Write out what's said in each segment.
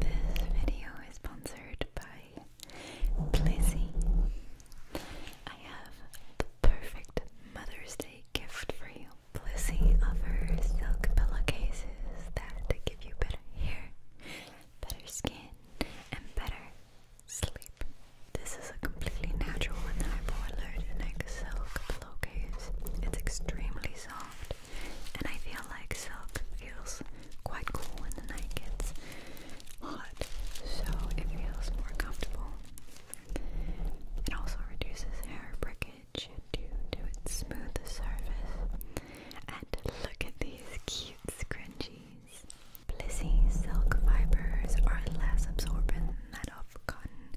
This video is sponsored by Blizzy. I have the perfect Mother's Day gift for you. Blizzy offers silk pillowcases that give you better hair, better skin, and better sleep. This is a completely natural one that I boilered in like silk pillowcase. It's extremely soft and I feel like silk feels quite cool when the night gets hot, so it feels more comfortable. It also reduces hair breakage due to its smooth surface. And look at these cute scrunchies. Blissy silk fibers are less absorbent than that of cotton,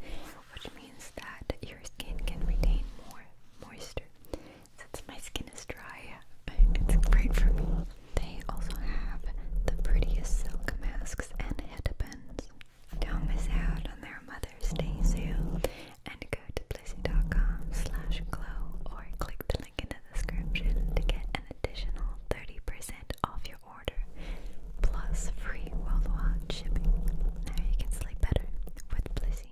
which means that your skin can retain more moisture since my skin is dry, it's great for me. They also have the prettiest silk masks and headbands. Don't miss out on their Mother's Day sale and go to blissy.com slash glow or click the link in the description to get an additional 30% off your order plus free worldwide shipping. Now you can sleep better with Blissy.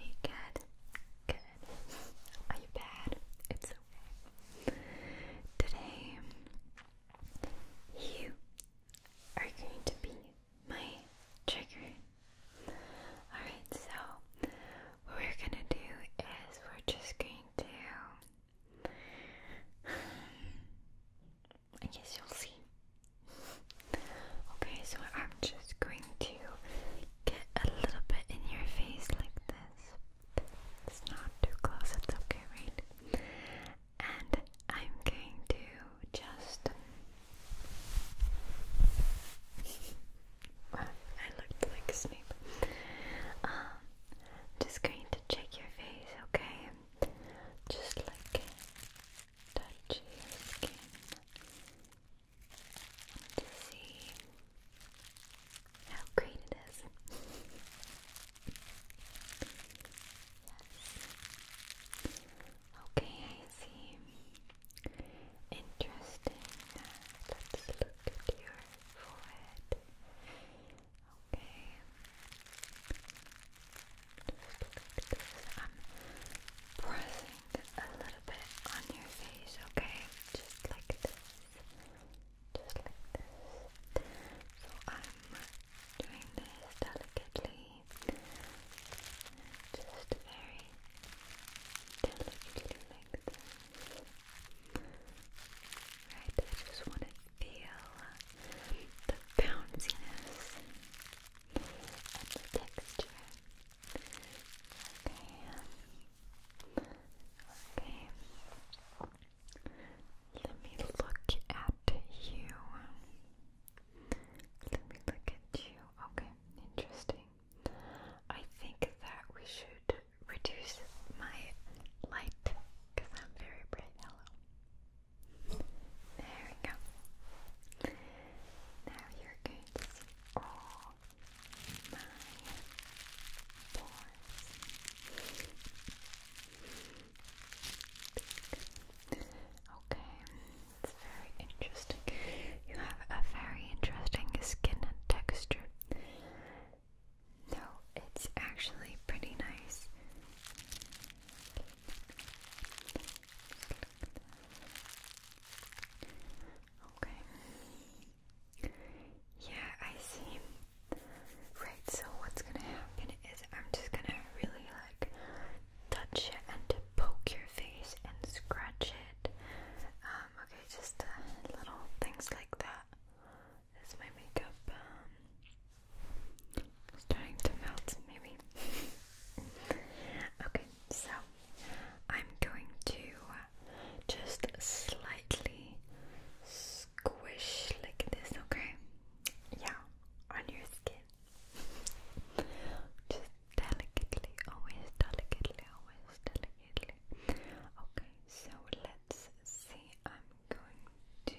You good? Good. Are you bad? It's okay. Today, you are going to be my trigger. Alright, so what we're gonna do is we're just going to. I guess you'll see. Okay, so I'm just going to get a little bit in your face like this. It's not too close, it's okay, right? And I'm going to just. I looked like Snape. Um, just going to check your face, okay? Just like touch your skin to see how great it is. yes. Okay, I see. Interesting. Let's look at your forehead. Okay. I'm pressing a little bit on your face, okay? Just like this. Just like this. So I'm doing this delicately. Just very delicately like this. Right, I just want to feel the bounciness Okay. Okay. Let me look at you. Let me look at you. Okay, interesting. I think that we should reduce my light because I'm very bright yellow. There we go. Now you're going to see all my pores. Okay, it's very interesting. You have a very interesting skin and texture. No, it's actually pretty nice. Okay. Yeah, I see. Right, so what's gonna happen is I'm just gonna really like touch it and poke your face and scratch it. Um, okay, just uh, little things like that. This is my makeup. Um, starting to melt, maybe. okay, so I'm going to just slightly squish like this, okay? Yeah, on your skin. just delicately, always delicately, always delicately. Okay, so let's see. I'm going to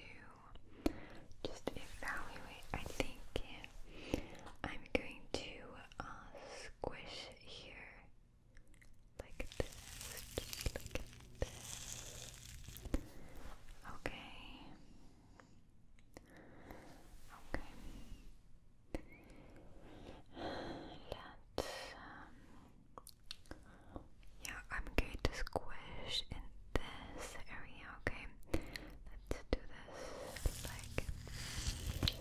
just evaluate. I think yeah, I I'm going to uh, squish here like this, Okay. Okay. let um, yeah, I'm going to squish in this area, okay? Let's do this like okay.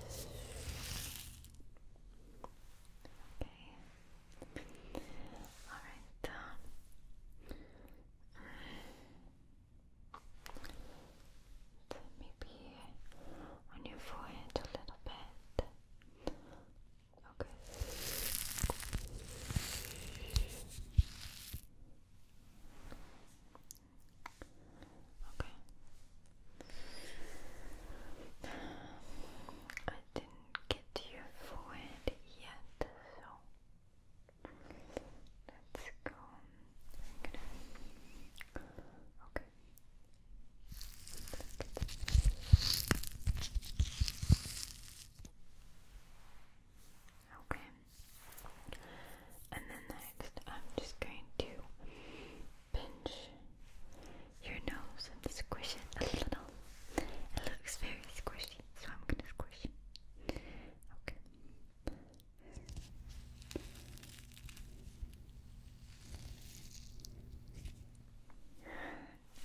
Alright. maybe on your forehead a little bit. Okay. Okay. I didn't get your forehead yet, so let's go. Okay. Okay. And then I'm just going to pinch your nose and squish it a little. It looks very squishy, so I'm gonna squish it. Okay.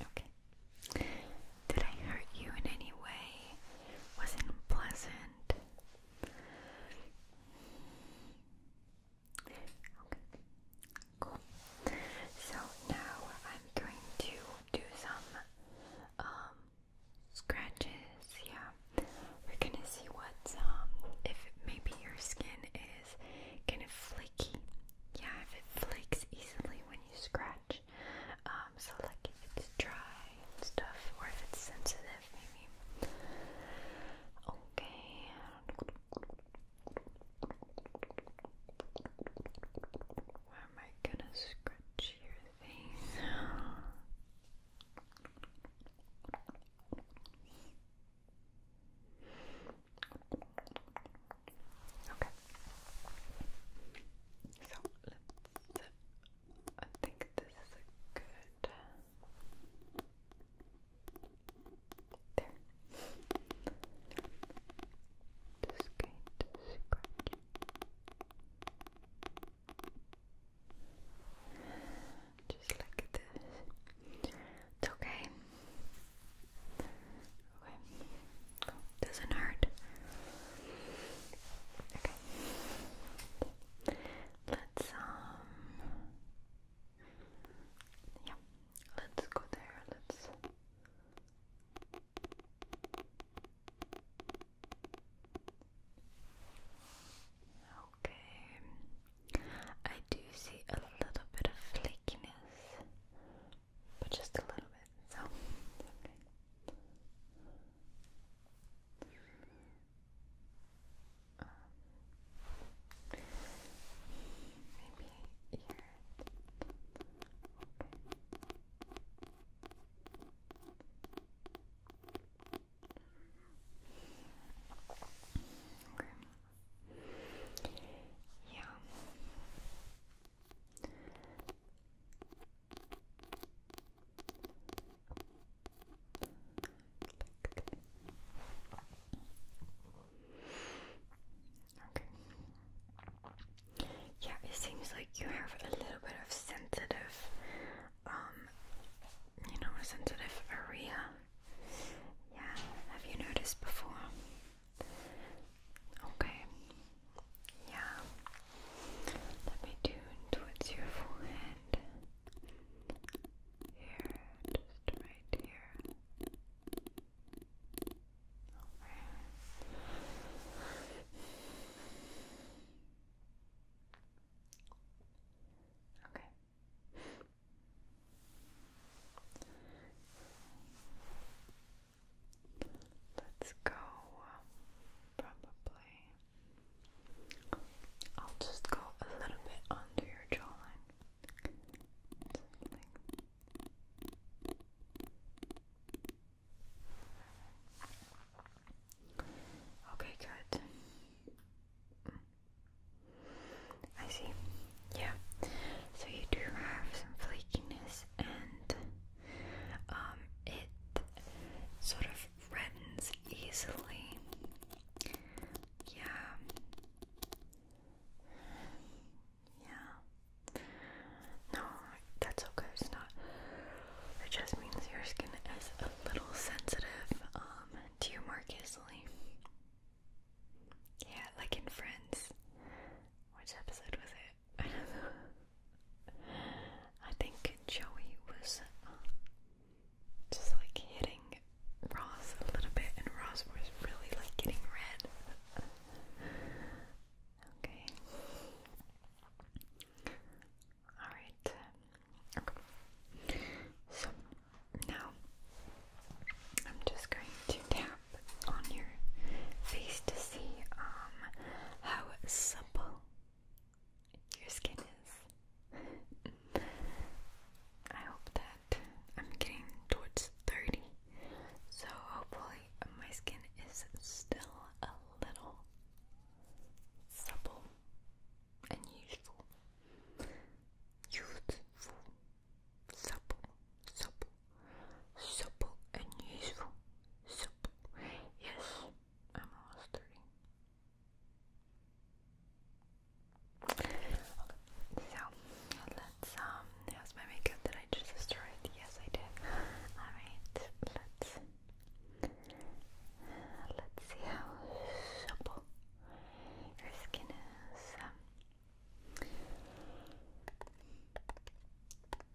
Okay. Did I hurt you in any way? Wasn't pleasant? Okay, cool. So now I'm going to do some um, scratches. Yeah, we're gonna see what's um, if maybe your skin is kind of flaky. Yeah, if it flakes easily when you scratch. Um, I'm um, so like if it's dry and stuff, or if it's sensitive, maybe. Okay. Where am I gonna scratch your face? Okay. So let's I think this is a good. There. Just going to scratch. Just like this. It's okay. Okay. Doesn't hurt. Okay. Let's um Yeah, let's go there. Let's Okay. I do see a little bit of flakiness, but just a little bit. So, um, maybe here. Okay. okay. Yeah. Yeah, it seems like you have a little bit of sensitive, um, you know, a sensitive area. Yeah, have you noticed before? Okay. Yeah. Let me tune towards your forehead. Here, just right here. Okay. Okay. Let's go probably I'll just go a little bit under your jawline. Something. Okay, good. I see. Yeah. So you do have some flakiness and um, it sort of reddens easily. Yeah. Yeah. No, that's okay. It's not. It just means your skin is a little sensitive um, to your mark easily. Yeah, like in Friends. Which episode was it? I think Joey was uh, just like hitting Ross a little bit, and Ross was really like getting red. okay. Alright. Okay. So now I'm just going to tap on your face to see um, how supple your skin is. I hope that I'm getting towards 30, so hopefully my skin is still a little supple and useful. Youthful, supple, supple, supple and useful, supple. Yes, almost 30. so let's um how's my makeup? Did I just destroy Yes I did. Alright, let's let's see how supple your skin is.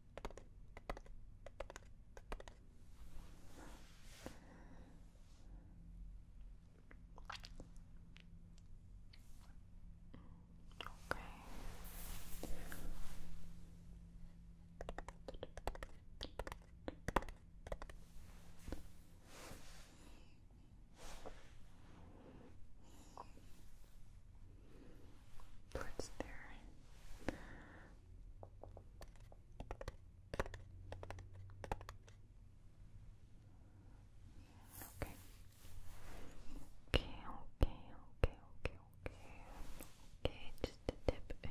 Okay. Towards there. Okay. Okay, okay, okay, okay, okay. just the tip of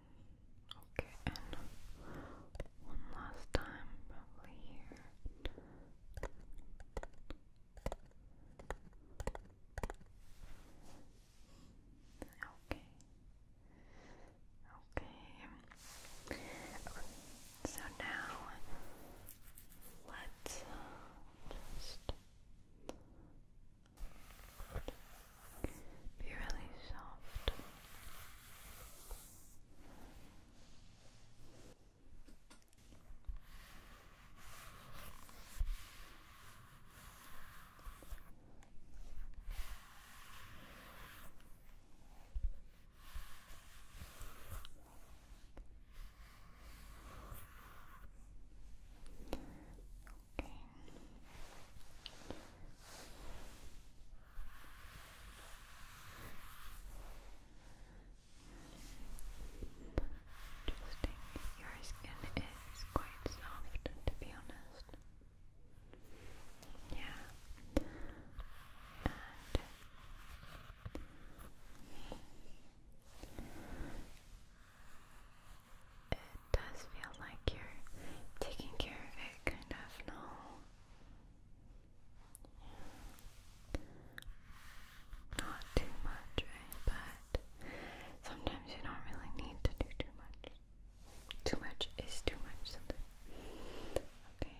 Okay, and one last time, probably here. Okay. Okay. So now let's uh, just be really soft. Okay. Interesting. Your skin is quite soft, to be honest. Yeah it does feel like you're taking care of it, kind of, no? Not too much, But sometimes you don't really need to do too much. Too much is too much sometimes. Okay.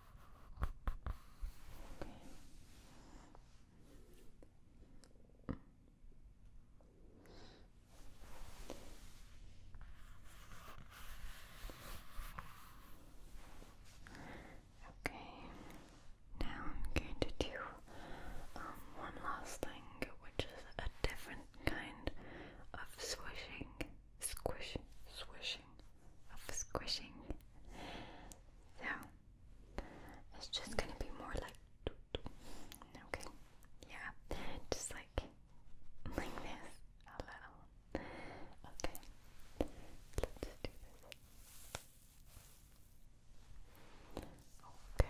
Okay. Okay. Now I'm going to do um, one last thing, which is a different kind of swishing, squish, swishing, of squishing. So it's just gonna be more like okay. Yeah. Just like like this a little. Okay. Let's do this. Okay.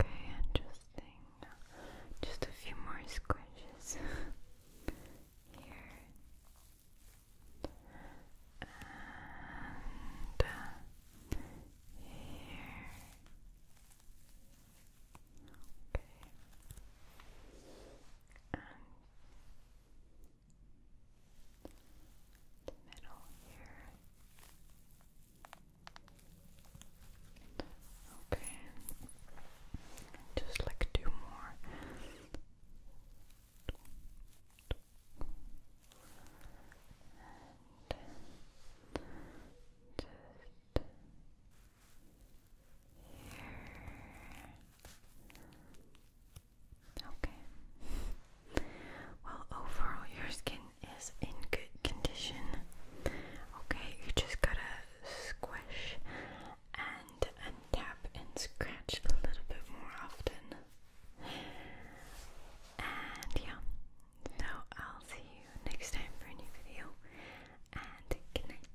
Okay, interesting. Just a few more squishes here. And uh, here. Okay. And the middle here. Okay, just like two more. And just here. Okay. Well, overall, your skin is in good condition. Okay, you just gotta squish and tap and scratch a little bit more often. And yeah, so I'll see you next time for a new video. And good night.